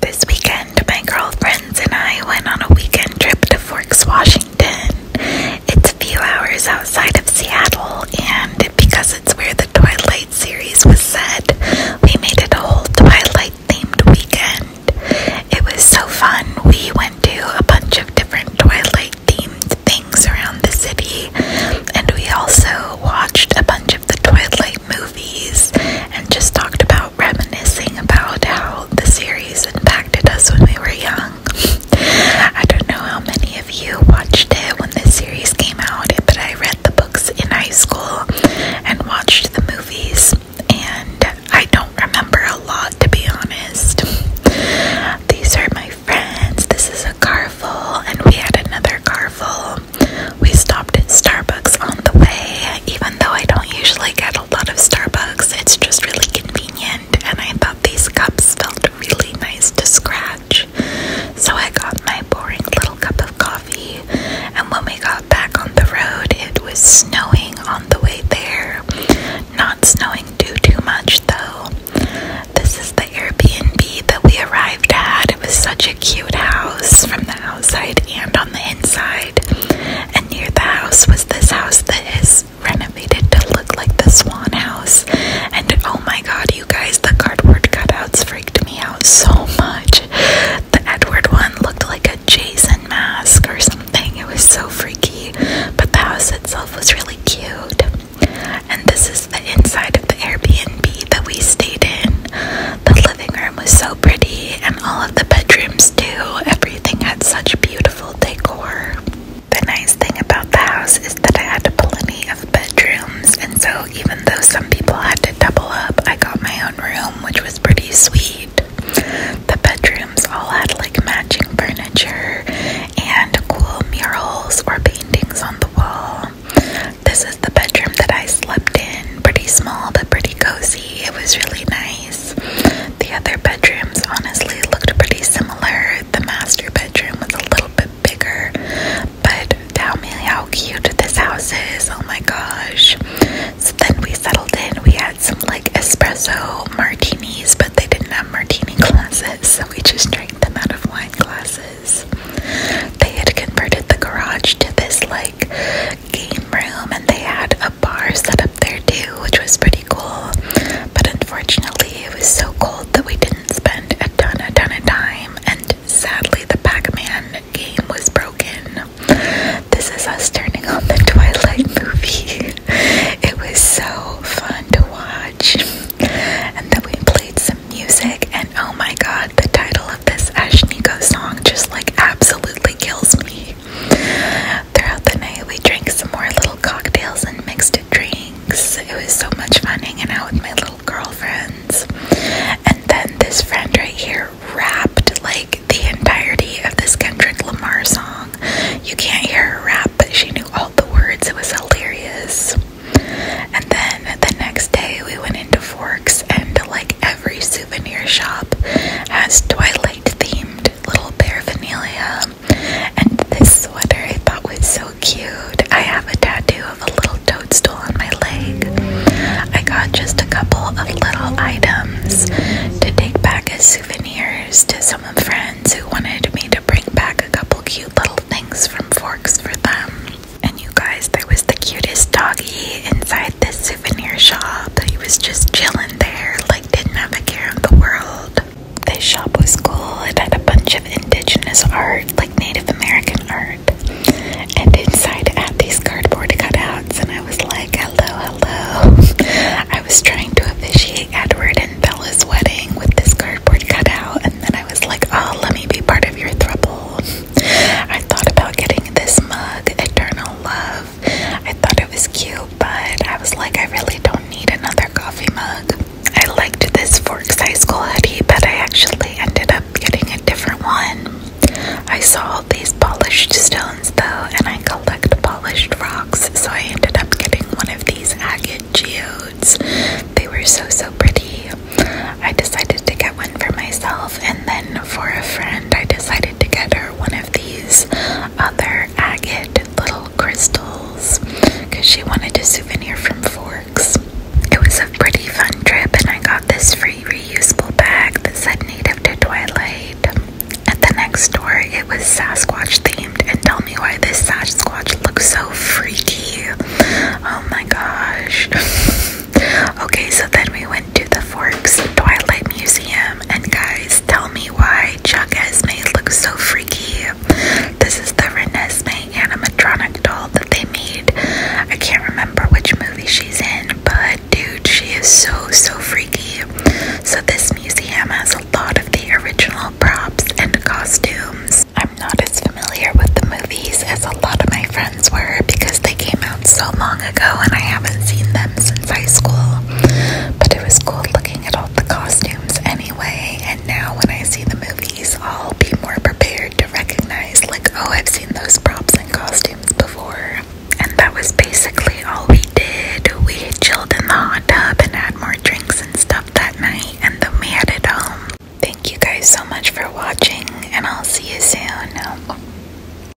This weekend, my girlfriend and I went on a weekend trip to Forks, Washington. It's a few hours outside of Seattle, and because it's where the Twilight series was set, we made it a whole Twilight themed weekend. It was so fun. We went to a bunch of different Twilight themed things around the city, and we also watched a bunch of the Twilight movies and just talked about reminiscing about how the series impacted us when we were young. I don't know how many of you watched it when the series came out, but I read the books in high school and watched the movies, and I don't remember a lot to be honest. These are my friends. This is a Carful, and we had another Carful. We stopped at Starbucks on the way, even though I don't usually get a lot of Starbucks, it's just really convenient, and I thought these cups felt really nice to scratch. So I got my boring little cup of coffee, and when we got back on the road, it was snowing on the way there. Not snowing too, too much though. This is the Airbnb that we arrived at. It was such a a cute house from the outside and on the inside. And near the house was this house that is renovated to look like the Swan House. And oh my god, you guys, the cardboard cutouts freaked me out so much. The Edward one looked like a Jason mask or something. It was so freaky, but the house itself was really cute. And this is the inside of the Airbnb that we stayed in. The living room was so pretty, and all of the bedrooms, too. Everything had such beautiful decor. The nice thing about the house is that I had plenty of bedrooms, and so even though some people had to double up, I got my own room, which was pretty sweet. The bedrooms all had like matching furniture and cool murals or paintings on the wall. This is the bedroom that I slept in, pretty small but pretty cozy. It was really nice. The other bedrooms honestly looked pretty similar. The master bedroom was a little bit bigger, but tell me how cute this house is. Oh my gosh. So then we settled in. We had some like espresso martinis, but they didn't have martini glasses, so we just drank them out of wine glasses. They had converted the garage to this like like game room and they had a bar set up there too, which was pretty cool. But unfortunately, it was so cold that we didn't spend a ton, a ton of time. And sadly, the Pac Man game was broken. This is us turning on the Twilight movie. it was so fun to watch. And then we played some music, and oh my god, the title this Ashniko song, just like absolutely kills me. Throughout the night, we drank some more little cocktails and mixed drinks. It was so much fun hanging out with my little girlfriends. And then this friend right here rapped like the entirety of this Kendrick Lamar song. You can't hear her rap, but she knew all the words. It was hilarious. And then the next day, we went into Forks, and like every souvenir shop has Twilight themed little paraphernalia. And this sweater I thought was so cute. I have a tattoo of a little toadstool on my leg. I got just a couple of little items to take back as souvenirs to some of friends who wanted me to bring back a couple cute little things from Forks for them. And you guys, there was the cutest doggy see inside the souvenir shop. He was just chilling there, like didn't have a care in the world. This shop was cool. It had a bunch of indigenous art, like Native American art. And inside it had these cardboard cutouts, and I was like, hello, hello. I was trying to officiate Edward and Bella's wedding with this cardboard cutout, and then I was like, oh, let me be part of your throuple. I thought about getting this mug, Eternal Love. I thought it was cute, but I was like, I really don't need another coffee mug. I liked this fork size quality, but I actually ended up getting a different one. I saw all these polished stones though, and I collect polished rocks, so I ended up getting one of these agate geodes. They were so so pretty. I decided to get one for myself, and then for a friend, I decided to get her one of these other agate little crystals because she wanted a souvenir from Forks. It was a pretty fun trip, and I got this free reusable bag that said native to Twilight. At the next store, it was Sasquatch themed, and tell me why this Sasquatch looks so freaky. Oh my gosh. okay, so then we went to the Forks Twilight Museum and guys, tell me why Chuck Esme looks so freaky. This is the Renesmee animatronic doll that they made. I can't remember which movie she's in, but dude, she is so, so freaky. So, this museum has a lot of the original props and costumes. I'm not as familiar with the movies as a lot of my friends were because they came out so long ago and I haven't seen them since high school. But it was cool looking at all the costumes anyway, and now when I see the movies, I'll be more prepared to recognize, like, oh, I've seen those props and costumes before. And that was basically all we did. We chilled in the hot tub and had more drinks and stuff that night, and then we headed home. Thank you guys so much for watching, and I'll see you soon.